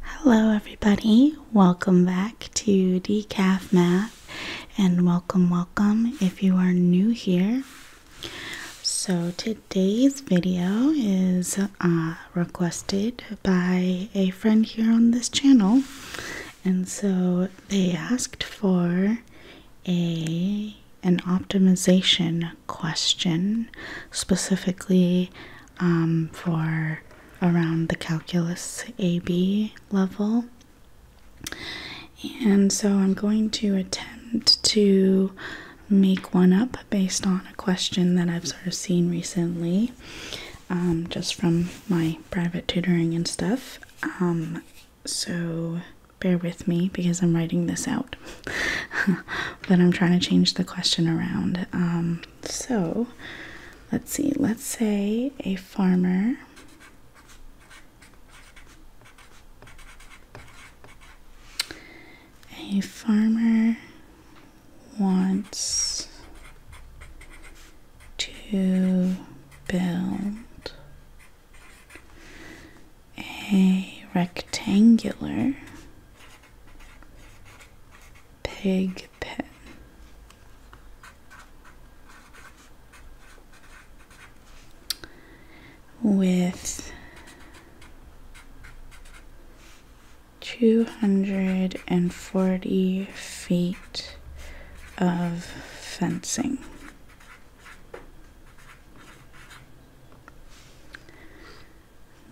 Hello, everybody. Welcome back to Decaf Math, and welcome, welcome if you are new here. So, today's video is uh, requested by a friend here on this channel, and so they asked for a an optimization question specifically um, for around the calculus AB level. And so I'm going to attempt to make one up based on a question that I've sort of seen recently, um, just from my private tutoring and stuff. Um, so bear with me because I'm writing this out, but I'm trying to change the question around. Um, so let's see, let's say a farmer a farmer wants to build a rectangular Pig pen. With two hundred and forty feet of fencing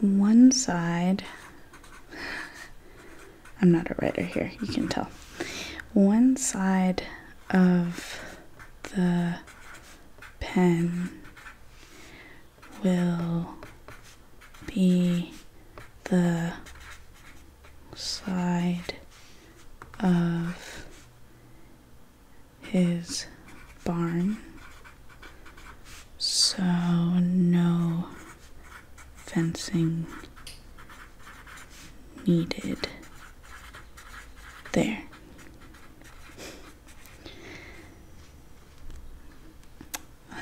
one side I'm not a writer here, you can tell. One side of the pen will be the side of his barn so, no fencing needed there.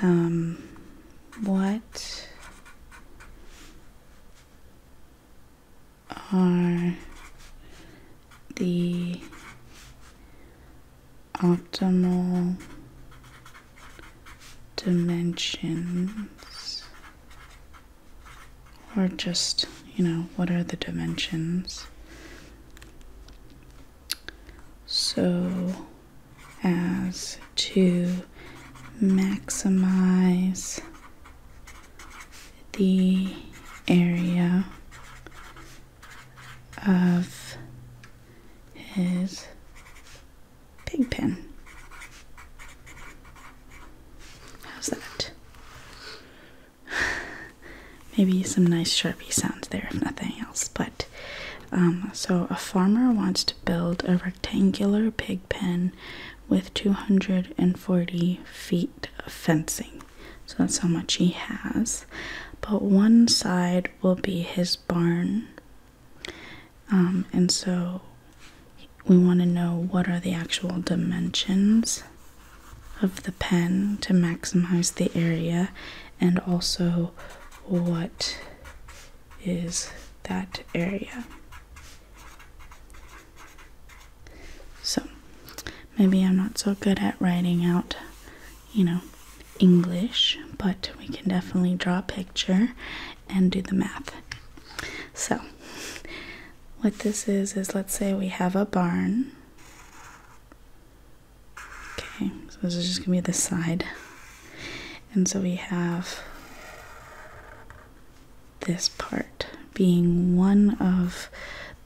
Um, what are the optimal dimensions or just you know what are the dimensions so as to maximize the area of his pig pen. How's that? Maybe some nice Sharpie sounds there, if nothing else. But um, so a farmer wants to build a rectangular pig pen with 240 feet of fencing. So that's how much he has. But one side will be his barn. Um, and so we want to know what are the actual dimensions of the pen to maximize the area and also what is that area. So maybe I'm not so good at writing out you know, English, but we can definitely draw a picture and do the math. So, what this is is let's say we have a barn. Okay, so this is just gonna be this side. And so we have this part being one of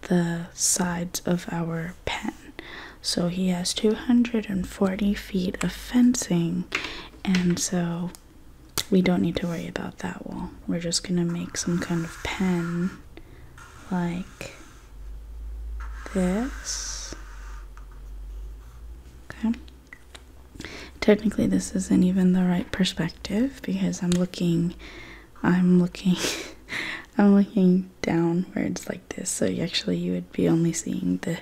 the sides of our pen so he has 240 feet of fencing and so we don't need to worry about that wall we're just gonna make some kind of pen like this okay technically this isn't even the right perspective because i'm looking i'm looking i'm looking downwards like this so actually you would be only seeing the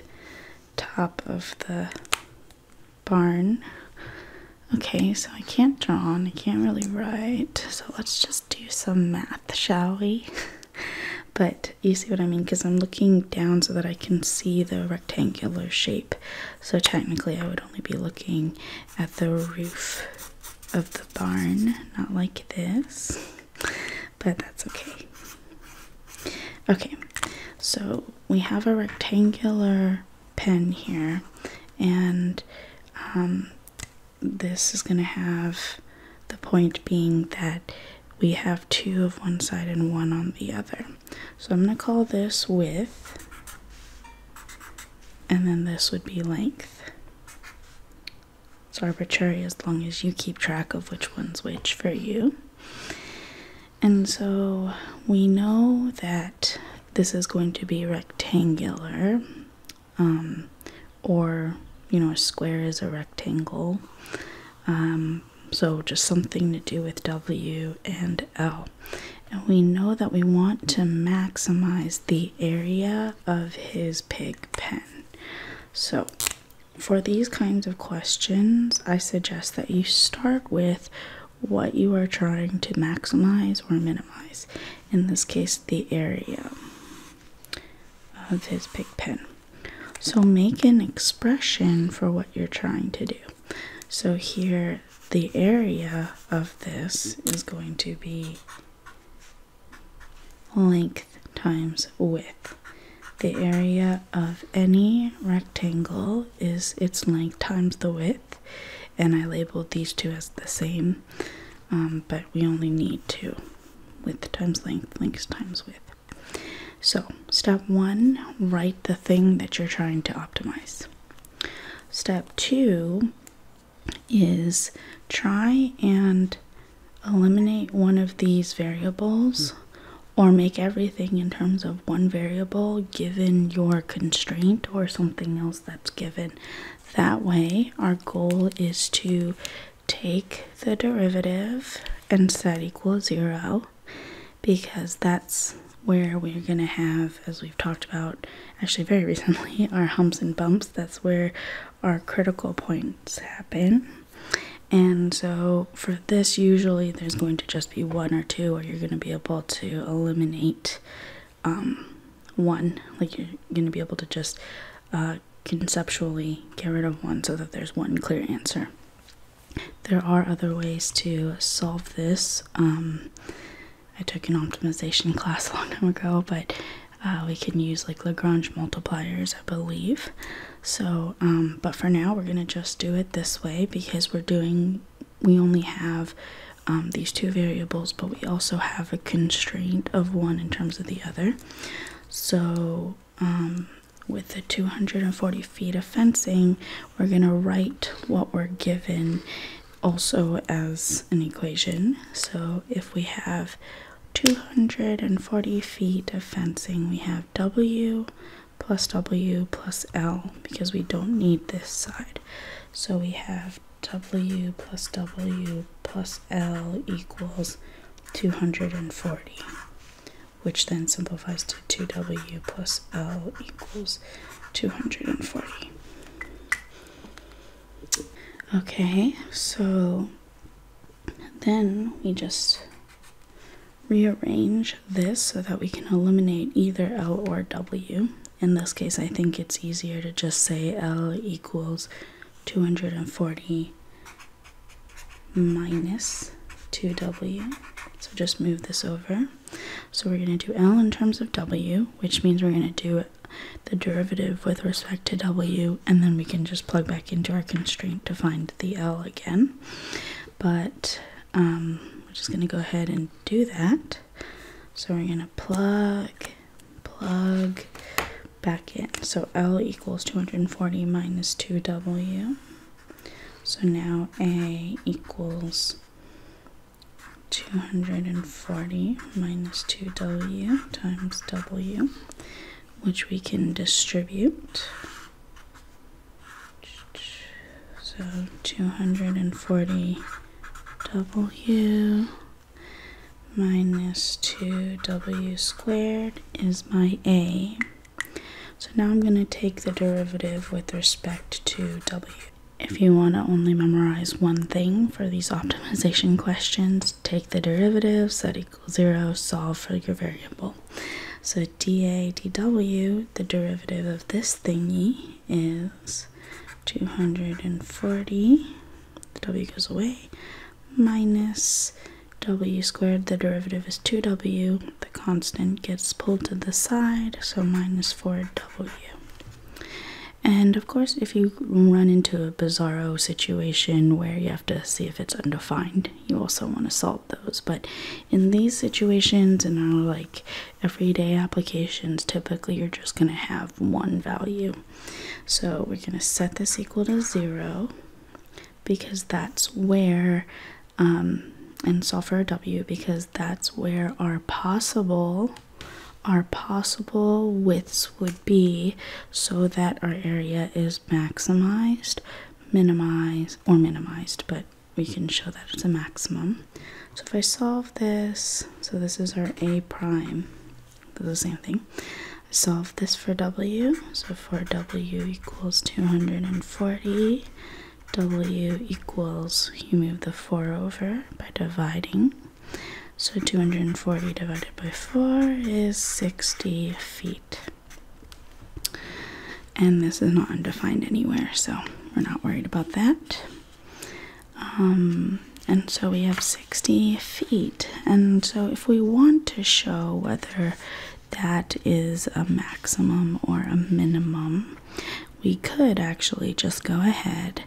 top of the barn okay so i can't draw and i can't really write so let's just do some math shall we but you see what i mean because i'm looking down so that i can see the rectangular shape so technically i would only be looking at the roof of the barn not like this but that's okay. Okay, so we have a rectangular pen here, and um, this is going to have the point being that we have two of one side and one on the other. So I'm going to call this width, and then this would be length. It's arbitrary as long as you keep track of which one's which for you. And so we know that this is going to be rectangular, um, or you know, a square is a rectangle. Um, so just something to do with W and L. And we know that we want to maximize the area of his pig pen. So for these kinds of questions, I suggest that you start with what you are trying to maximize or minimize. In this case, the area of his big pen. So, make an expression for what you're trying to do. So, here, the area of this is going to be length times width. The area of any rectangle is its length times the width, and I labeled these two as the same, um, but we only need two width times length, length times width. So, step one, write the thing that you're trying to optimize. Step two is try and eliminate one of these variables or make everything in terms of one variable given your constraint or something else that's given. That way, our goal is to take the derivative and set equal zero because that's where we're going to have, as we've talked about actually very recently, our humps and bumps. That's where our critical point happen. And so, for this, usually there's going to just be one or two, or you're going to be able to eliminate um, one. Like, you're going to be able to just uh, conceptually get rid of one so that there's one clear answer. There are other ways to solve this. Um, I took an optimization class a long time ago, but uh, we can use like Lagrange multipliers, I believe. So, um, but for now, we're gonna just do it this way because we're doing. We only have um, these two variables, but we also have a constraint of one in terms of the other. So, um, with the 240 feet of fencing, we're going to write what we're given also as an equation. So, if we have 240 feet of fencing. We have W plus W plus L because we don't need this side. So we have W plus W plus L equals 240, which then simplifies to 2W plus L equals 240. Okay, so then we just rearrange this so that we can eliminate either L or W. In this case, I think it's easier to just say L equals 240 minus 2W. So just move this over. So we're going to do L in terms of W, which means we're going to do the derivative with respect to w, and then we can just plug back into our constraint to find the l again. But um, we're just going to go ahead and do that. So we're going to plug, plug back in. So L equals 240 minus 2W. So now A equals 240 minus 2W times W which we can distribute. So 240 W minus 2W squared is my A. So now I'm going to take the derivative with respect to W. If you want to only memorize one thing for these optimization questions, take the derivative, set equal 0, solve for your variable. So dA dW, the derivative of this thingy is 240, the w goes away, minus w squared, the derivative is 2w, the constant gets pulled to the side, so minus 4w. And of course, if you run into a bizarro situation where you have to see if it's undefined, you also want to solve those. But in these situations, and our like everyday applications, typically you're just going to have one value. So we're going to set this equal to zero because that's where, um, and solve for a w because that's where our possible. Are possible widths would be so that our area is maximized, minimized, or minimized, but we can show that it's a maximum. So if I solve this, so this is our a prime, the same thing. I solve this for w, so 4 w equals 240, w equals, you move the 4 over by dividing, so 240 divided by 4 is 60 feet. And this is not undefined anywhere, so we're not worried about that. Um, and so we have 60 feet. And so if we want to show whether that is a maximum or a minimum, we could actually just go ahead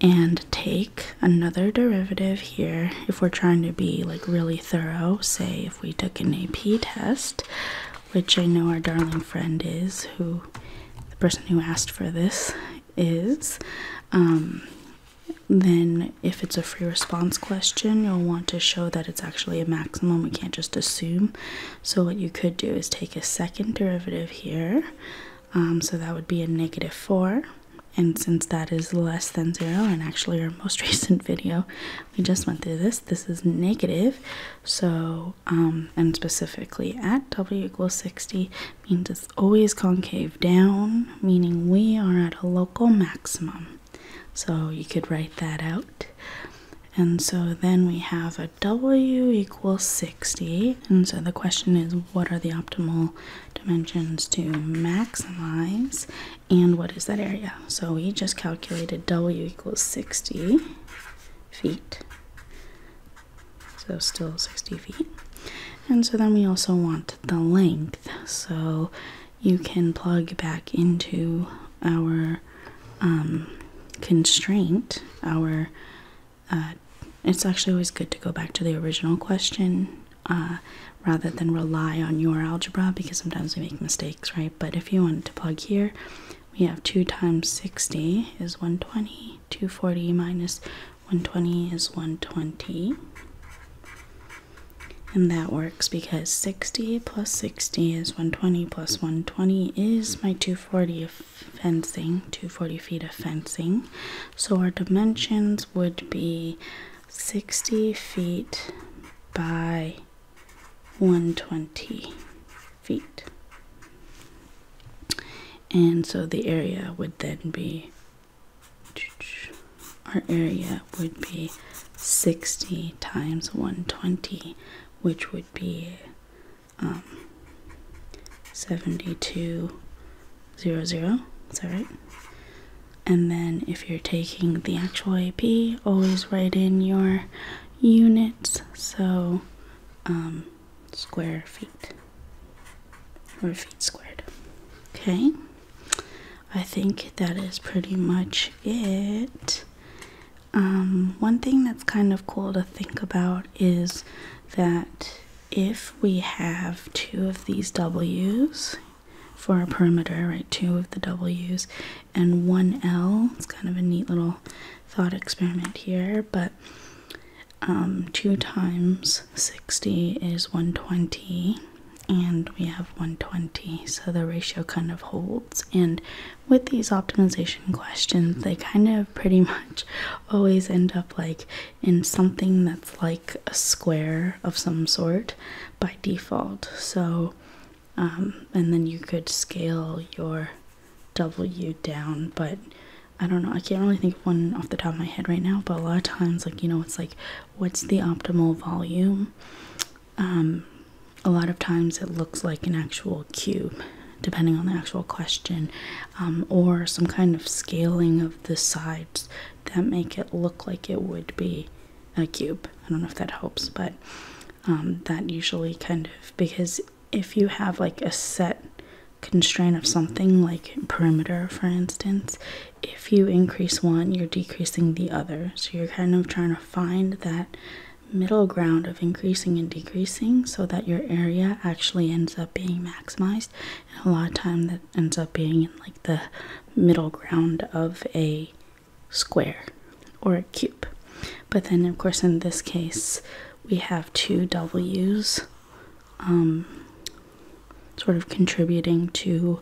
and take another derivative here if we're trying to be like really thorough say if we took an AP test which I know our darling friend is who the person who asked for this is um, then if it's a free response question you'll want to show that it's actually a maximum we can't just assume so what you could do is take a second derivative here um, so that would be a negative 4 and since that is less than zero and actually our most recent video we just went through this this is negative so um, and specifically at w equals 60 means it's always concave down meaning we are at a local maximum so you could write that out and so then we have a w equals 60 and so the question is what are the optimal dimensions to maximize and what is that area. So we just calculated W equals 60 feet. So still 60 feet. And so then we also want the length. So you can plug back into our um, constraint, our uh, it's actually always good to go back to the original question uh, rather than rely on your algebra because sometimes we make mistakes, right? But if you wanted to plug here, we have 2 times 60 is 120, 240 minus 120 is 120. And that works because 60 plus 60 is 120 plus 120 is my 240 of fencing, 240 feet of fencing. So our dimensions would be 60 feet by 120 feet. And so the area would then be, our area would be 60 times 120, which would be um, 72 zero zero. Is that right? And then if you're taking the actual AP, always write in your units. So um, square feet or feet squared. Okay. I think that is pretty much it. Um, one thing that's kind of cool to think about is that if we have two of these W's for our perimeter, right? Two of the W's and one L. It's kind of a neat little thought experiment here, but um, 2 times 60 is 120, and we have 120, so the ratio kind of holds. And with these optimization questions, they kind of pretty much always end up like in something that's like a square of some sort by default. So, um, and then you could scale your W down, but I don't know. I can't really think of one off the top of my head right now, but a lot of times, like, you know, it's like, what's the optimal volume? Um, a lot of times it looks like an actual cube, depending on the actual question, um, or some kind of scaling of the sides that make it look like it would be a cube. I don't know if that helps, but um, that usually kind of because if you have like a set constraint of something like perimeter, for instance, if you increase one, you're decreasing the other. So you're kind of trying to find that middle ground of increasing and decreasing so that your area actually ends up being maximized a lot of time that ends up being in like the middle ground of a square or a cube. But then, of course, in this case, we have two W's um, sort of contributing to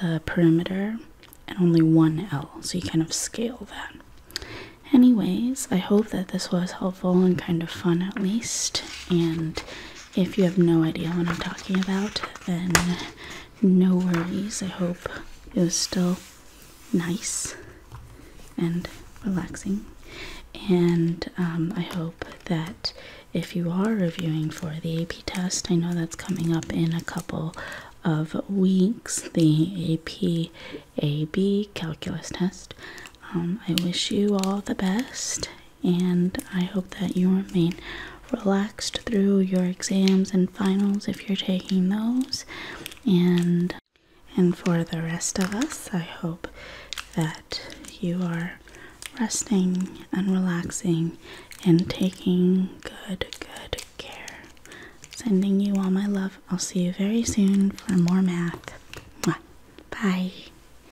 the perimeter and only one L, so you kind of scale that. Anyways, I hope that this was helpful and kind of fun at least. And if you have no idea what I'm talking about, then no worries. I hope it was still nice and relaxing. And um, I hope that if you are reviewing for the AP test, I know that's coming up in a couple of weeks, the AP AB calculus test. Um, I wish you all the best and I hope that you remain relaxed through your exams and finals if you're taking those and and for the rest of us, I hope that you are resting and relaxing and taking good, good care. Sending you all my love. I'll see you very soon for more math. Bye.